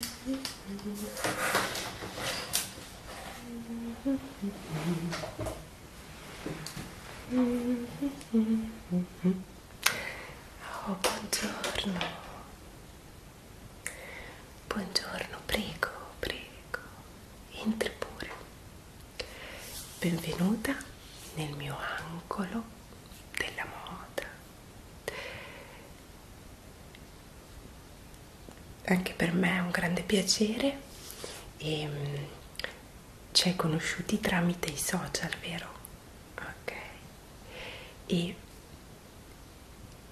Oh, buongiorno. Buongiorno, prego, prego. Entri pure. Benvenuta nel mio angolo della moda. Anche per me è un grande piacere e ehm, ci hai conosciuti tramite i social, vero? Ok. E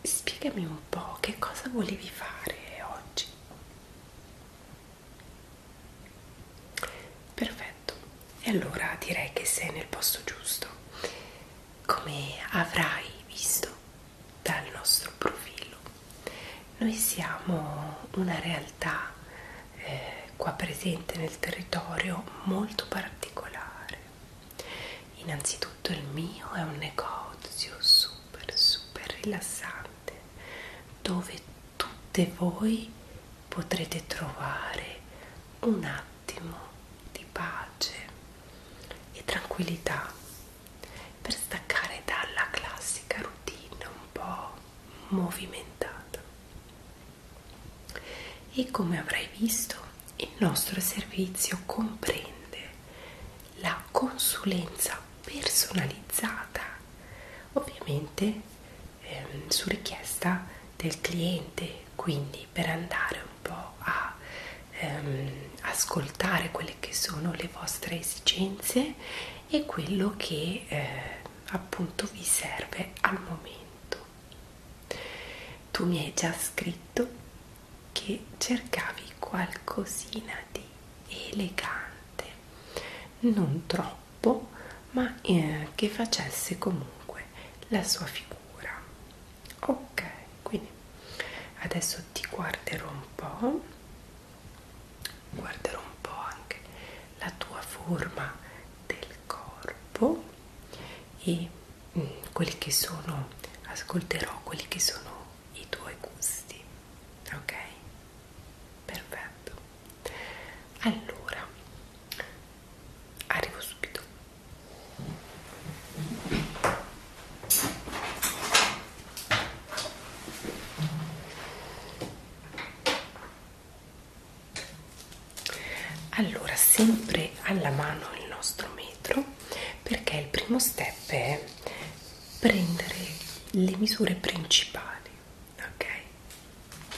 spiegami un po' che cosa volevi fare oggi. Perfetto. E allora direi che sei nel posto giusto come avrai visto dal nostro profilo, noi siamo una realtà eh, qua presente nel territorio molto particolare. Innanzitutto il mio è un negozio super super rilassante dove tutte voi potrete trovare una attimo di pace e tranquillità per staccare dalla classica routine un po' movimentata. E come avrai visto, il nostro servizio comprende la consulenza personalizzata, ovviamente ehm, su richiesta del cliente quindi per andare un po' a ehm, ascoltare quelle che sono le vostre esigenze e quello che eh, appunto vi serve al momento tu mi hai già scritto che cercavi qualcosina di elegante non troppo ma eh, che facesse comunque la sua figura ok quindi adesso ti guarderò un po' guarderò un po' anche la tua forma del corpo e mh, mm, quelli che sono ascolterò quelli che sono i tuoi gusti ok perfetto allora arrivo subito allora, sempre alla mano il nostro metro, perché il primo step è prendere le misure principali, ok?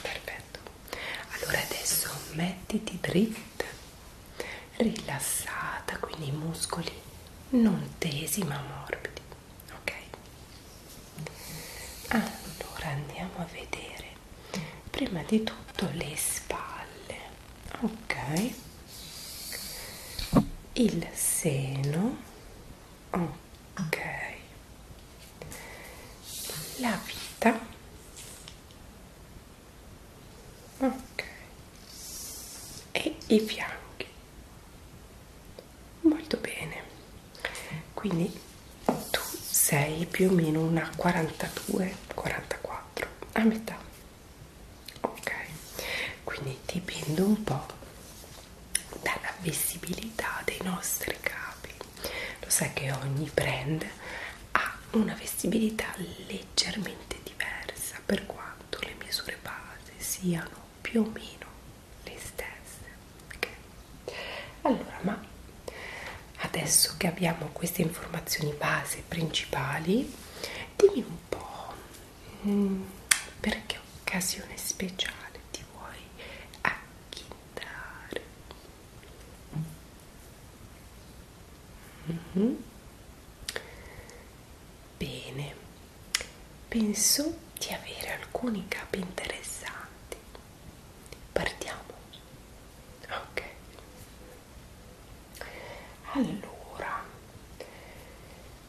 Perfetto. Allora adesso mettiti dritta rilassata, quindi i muscoli non tesi ma morbidi, ok? Allora andiamo a vedere prima di tutto le spalle, ok? Il seno, ok? La vita ok e i fianchi molto bene quindi tu sei più o meno una 42 44 a metà ok quindi dipende un po dalla vestibilità dei nostri capi lo sai che ogni brand ha una vestibilità leggera leggermente diversa per quanto le misure base siano più o meno le stesse. Okay. Allora, ma adesso che abbiamo queste informazioni base principali, dimmi un po' mm, per che occasione speciale ti vuoi acchindare. Mm -hmm. Bene, penso di avere alcuni capi interessanti. Partiamo. Ok. Allora,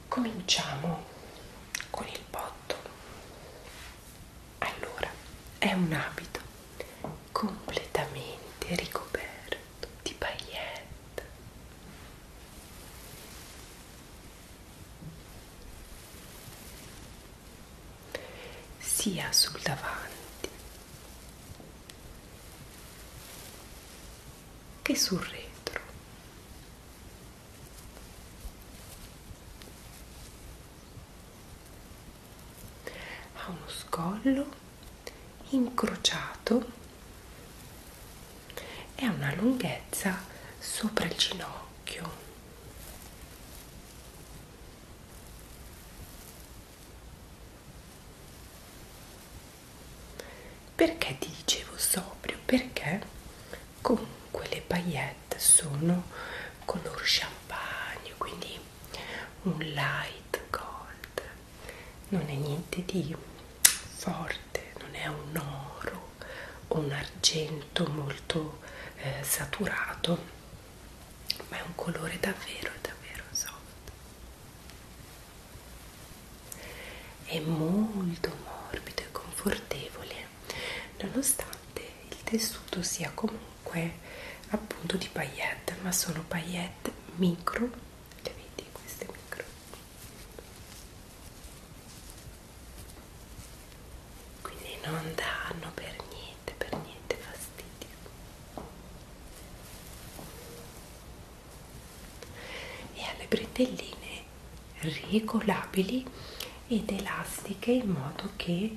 cominciamo con il botto. Allora, è un abito completamente ricoperto di paillette sia sul davanti che sul retro ha uno scollo incrociato e ha una lunghezza sopra il ginocchio perché ti dicevo sobrio perché comunque le paillette sono color champagne quindi un light gold non è niente di forte, non è un oro o un argento molto eh, saturato, ma è un colore davvero, davvero soft. È molto morbido e confortevole, nonostante il tessuto sia comunque comunque appunto di paillette ma sono paillette micro le vedi queste micro quindi non danno per niente per niente fastidio e ha le bretelline regolabili ed elastiche in modo che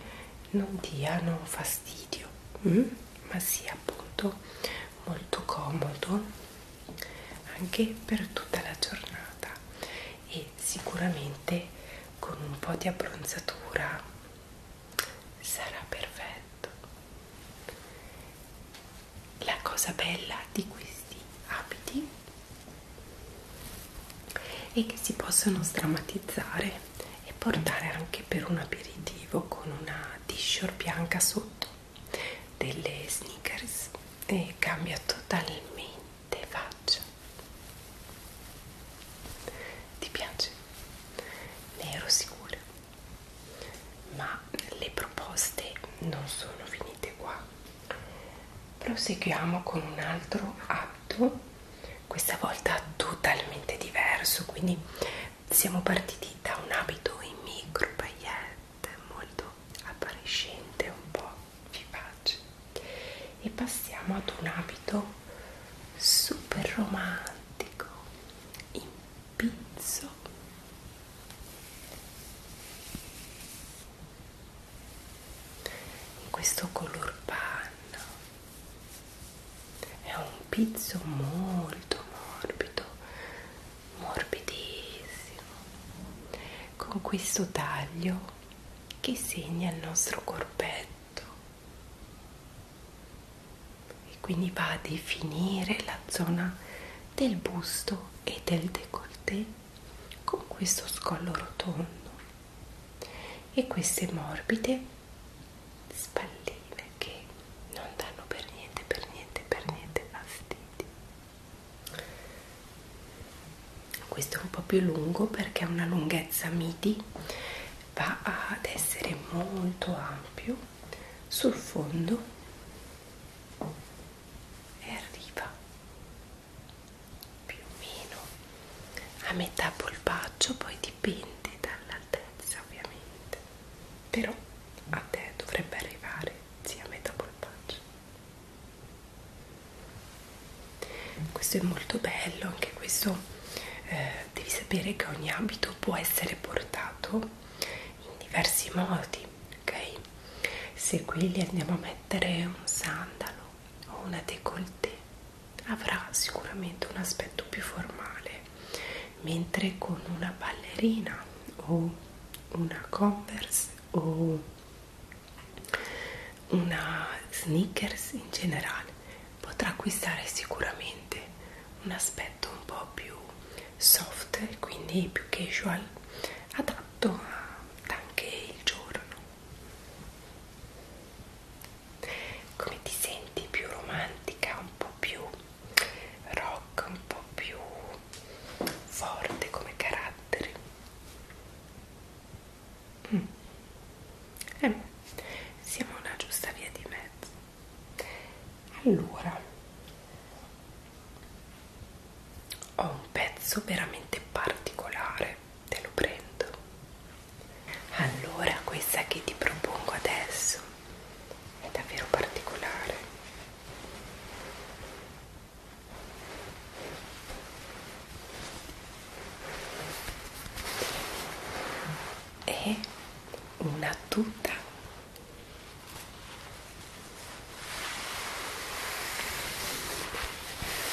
non diano fastidio fastidio mm? ma sia appunto molto comodo anche per tutta la giornata e sicuramente con un po' di abbronzatura sarà perfetto la cosa bella di questi abiti è che si possono strammatizzare e portare anche per un aperitivo con una t-shirt bianca sotto delle sneakers e cambia totalmente faccia ti piace? ne ero sicura ma le proposte non sono finite qua proseguiamo con un altro atto questa volta totalmente diverso quindi siamo partiti da un abito in micro paillette molto appariscente un po' vivace e passiamo ad un abito super romantico in pizzo in questo color panna è un pizzo molto morbido morbidissimo con questo taglio che segna il nostro corpetto e quindi va a definire la zona del busto e del décolleté con questo scollo rotondo e queste morbide spalline che non danno per niente, per niente, per niente fastidio. Questo è un po' più lungo perché ha una lunghezza midi, va ad essere molto ampio sul fondo e arriva più o meno a metà polpaccio, poi di dipende dall'altezza ovviamente però a te dovrebbe arrivare sia metà polpaccio questo è molto bello anche questo eh, devi sapere che ogni abito può essere portato in diversi modi ok se qui gli andiamo a mettere un sandalo o una décolleté avrà sicuramente un aspetto più formale, mentre con una ballerina o una Converse o una Sneakers in generale potrà acquistare sicuramente un aspetto un po' più soft, quindi più casual, adatto anche il giorno come ti senti più romantica un po' più rock un po' più forte come carattere mm. eh, siamo una giusta via di mezzo allora ho un pezzo veramente particolare te lo prendo allora, questa che ti propongo adesso è davvero particolare. È una tuta.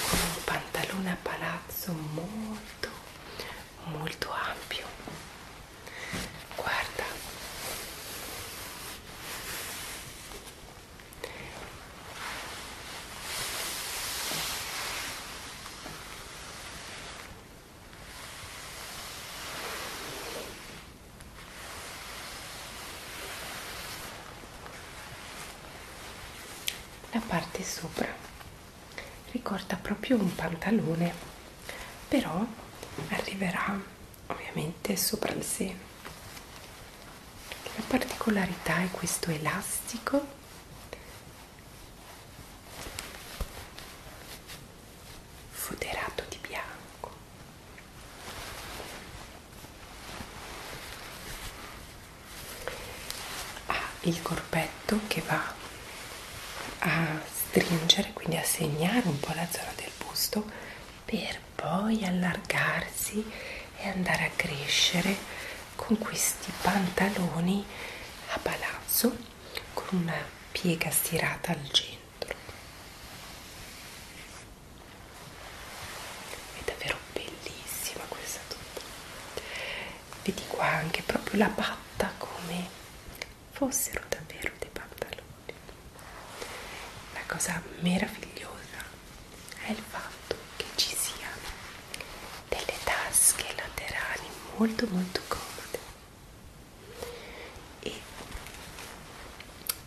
Con un pantalone a palazzo molto molto ampio guarda la parte sopra ricorda proprio un pantalone però arriverà ovviamente sopra il seno la particolarità è questo elastico foderato di bianco ha il corpetto effetto che va a stringere, quindi a segnare un po' la zona del busto per poi allargarsi e andare a crescere con questi pantaloni a palazzo con una piega stirata al centro. È davvero bellissima questa tuta. Vedi qua anche proprio la patta come fossero davvero dei pantaloni. La cosa meravigliosa è il fatto che ci siano delle tasche laterali molto molto comode e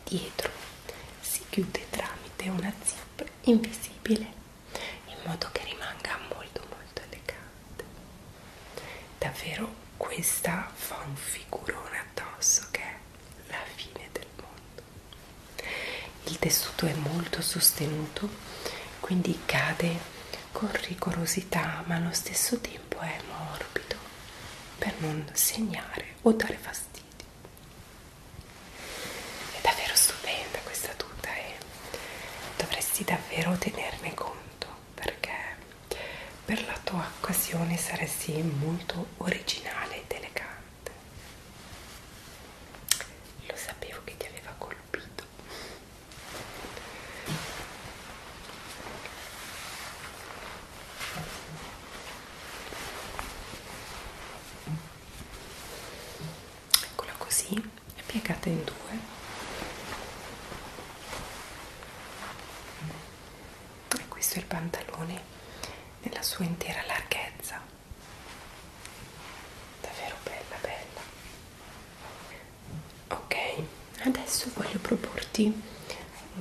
dietro si chiude tramite una zip invisibile in modo che rimanga molto molto elegante davvero questa fa un figurone addosso che è la fine del mondo il tessuto è molto sostenuto quindi cade con rigorosità ma allo stesso tempo è morbido per non segnare o dare fastidio è davvero stupenda questa tuta e dovresti davvero tenerne conto perché per la tua occasione saresti molto originale ed elegante. Lo sapevo che ti aveva colpito. Eccola così e piegate in due e questo è il pantalone nella sua intera larghezza davvero bella bella ok adesso voglio proporti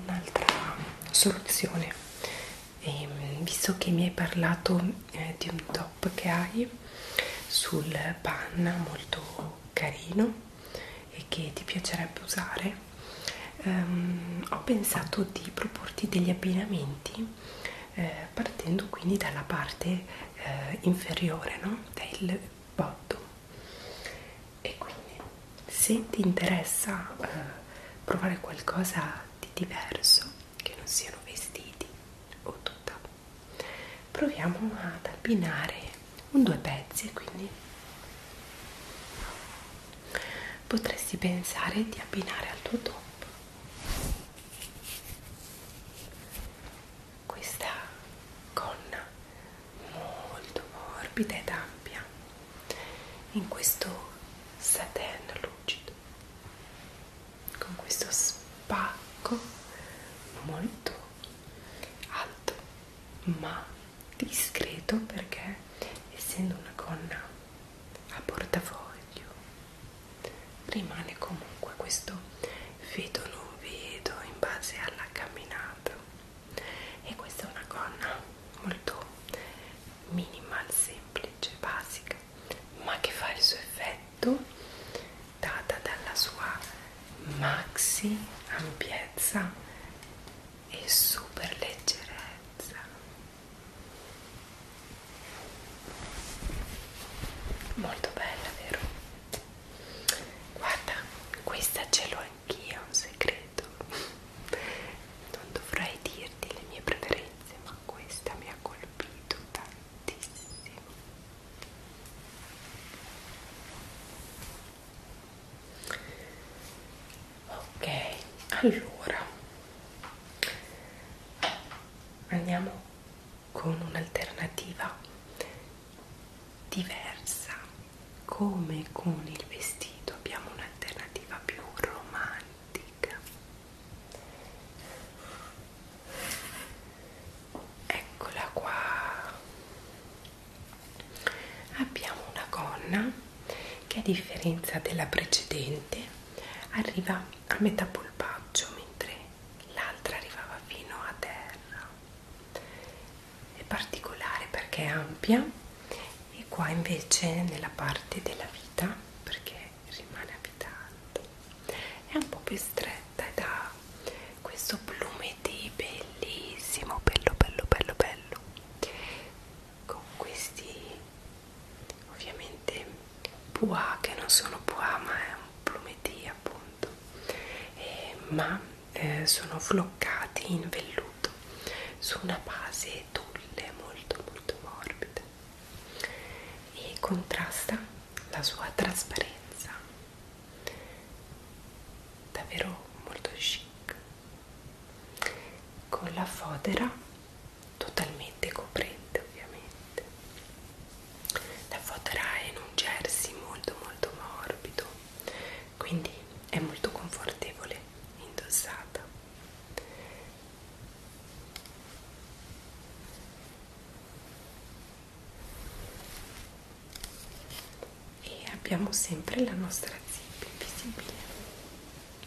un'altra soluzione e, ehm, visto che mi hai parlato eh, di un top che hai sul panna molto carino e che ti piacerebbe usare, ehm, ho pensato di proporti degli abbinamenti eh, partendo quindi dalla parte eh, inferiore no? del botto. E quindi se ti interessa eh, provare qualcosa di diverso, che non siano vestiti o tutta proviamo ad abbinare un due pezzi quindi potresti pensare di abbinare al tuo top questa gonna molto morbida ed ampia in questo satin lucido con questo spacco molto alto ma discreto perché essendo una gonna a portafoglio rimane comunque questo vedo non vedo in base alla camminata e questa è una gonna molto minimal semplice basica ma che fa il suo effetto petto data dalla sua maxi ampiezza e super leggerezza molto bella vero? guarda questa ce l'ho anch'io un segreto non dovrei dirti le mie preferenze ma questa mi ha colpito tantissimo ok allora andiamo con un'alternativa diversa come con il vestito abbiamo un'alternativa più romantica eccola qua abbiamo una gonna che a differenza della precedente arriva a metà polpaggio mentre l'altra arrivava fino a terra è particolare perché è ampia e qua invece nella parte della vita perché rimane abitante è un po' più stretta ed ha questo plumeti bellissimo bello bello bello bello con questi ovviamente bois che non sono bois ma è un plumeti appunto eh, ma eh, sono floccati in velluto su una base tulle molto molto morbida e contrasta la sua trasparenza davvero molto chic con la fodera totalmente coprente ovviamente la fodera è in un jersey molto molto morbido quindi è molto confortevole indossata e abbiamo sempre la nostra zip invisibile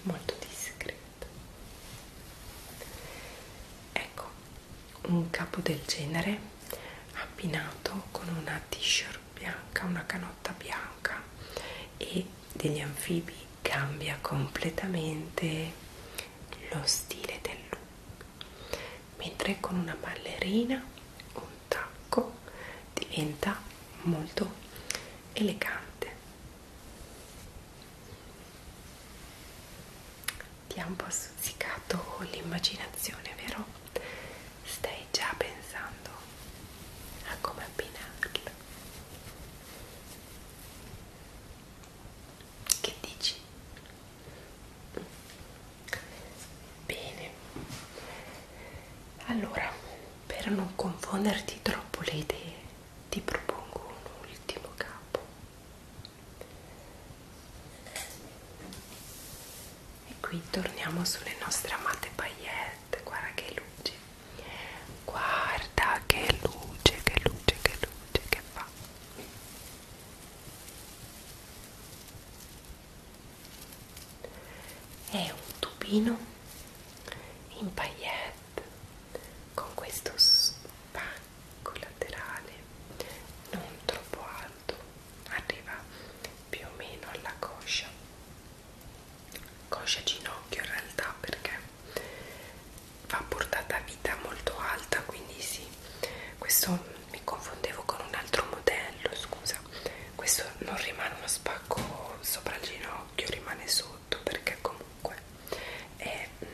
molto discreta ecco un capo del genere abbinato con una t-shirt bianca una canotta bianca e degli anfibi cambia completamente lo stile del look mentre con una ballerina un tacco diventa molto elegante ti ha un po' stuzzicato l'immaginazione vero? stai già pensando a come abbinarlo che dici? Bene, allora per non confonderti troppo le idee, ti propongo un ultimo capo. E qui torniamo sulle nostre amate paillette. Guarda che luce, guarda che luce, che luce, che luce che fa è un tubino in paillette con questo spacco laterale non troppo alto arriva più o meno alla coscia coscia ginocchio in realtà perché va portata a vita molto alta quindi sì questo mi confondevo con un altro modello scusa questo non rimane uno spacco sopra il ginocchio rimane sotto perché comunque è mm,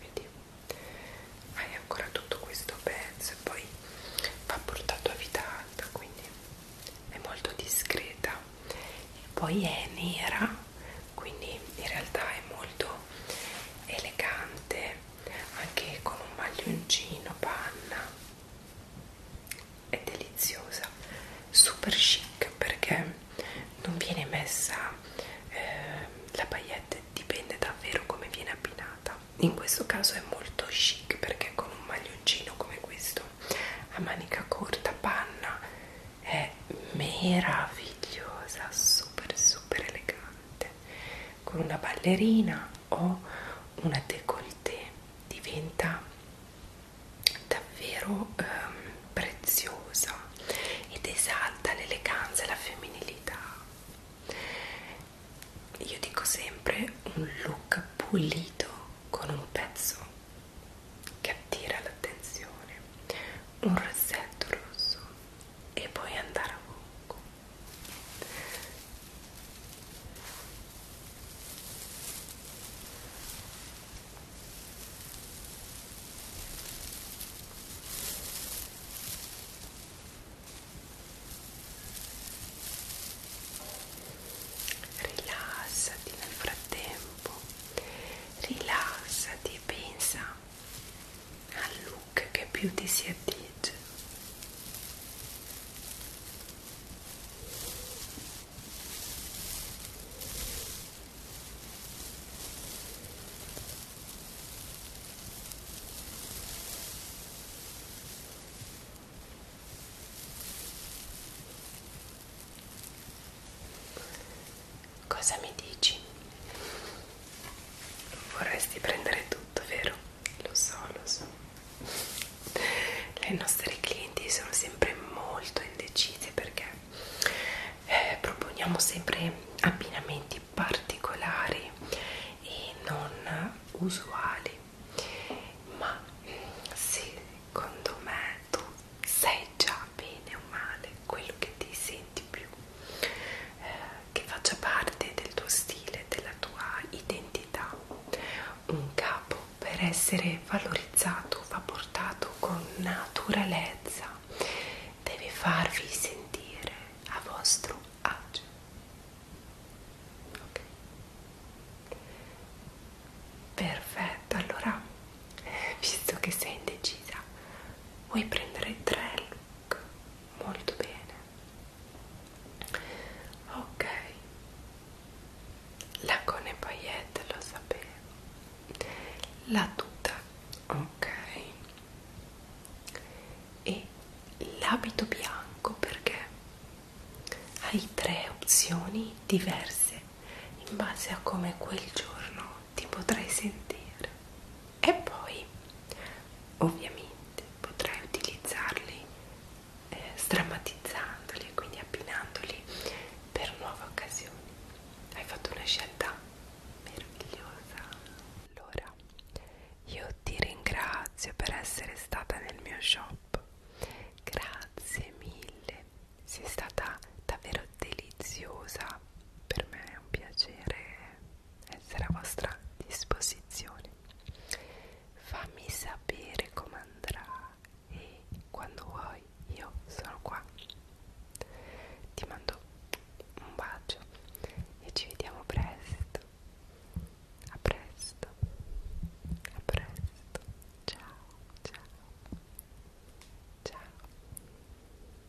vedi hai ancora tutto questo pezzo e poi va portato a vita alta quindi è molto discreta e poi è nera quindi in realtà è molto elegante anche con un maglioncino panna è deliziosa super chic perché non viene messa eh, la paillette dipende davvero come viene abbinata in questo caso è molto chic perché con un maglioncino come questo a manica corta panna è meravigliosa super super elegante elegante con una ballerina o una décolleté diventa davvero ehm, preziosa ed esalta l'eleganza e la femminilità io dico sempre un look pulito con un pezzo che attira l'attenzione un rossetto rosso e poi andare a Hong Kong. Rilassati nel frattempo, rilassati e pensa al look che più ti si addice Cosa mi dici? Vorresti prendere tutto, vero? Lo so, lo so. Le nostre clienti sono sempre molto indecise perché eh, proponiamo sempre abbinamenti particolari e non usuali. Ma secondo me tu sai già bene o male quello che ti senti più eh, che faccia parte del tuo stile, della tua identità. Un capo per essere valorizzato va portato con naturalezza, deve farvi sentire a vostro agio. Okay. Perfetto, allora visto che sei indecisa, vuoi prendere tre tac ecco, molto bene ok la cone paillette lo sapevo la tuta ok e l'abito bianco perché hai tre opzioni diverse in base a come quel giorno ti potrai sentire e poi ovviamente potrai utilizzarli eh, strammatizzandoli e quindi abbinandoli per nuove occasioni hai fatto una scelta meravigliosa allora io ti ringrazio per essere stata nel mio shop grazie mille sei stata davvero deliziosa per me è un piacere essere a vostra disposizione. Fammi sapere come andrà e quando vuoi io sono qua. Ti mando un bacio e ci vediamo presto. A presto. A presto. Ciao, ciao. Ciao.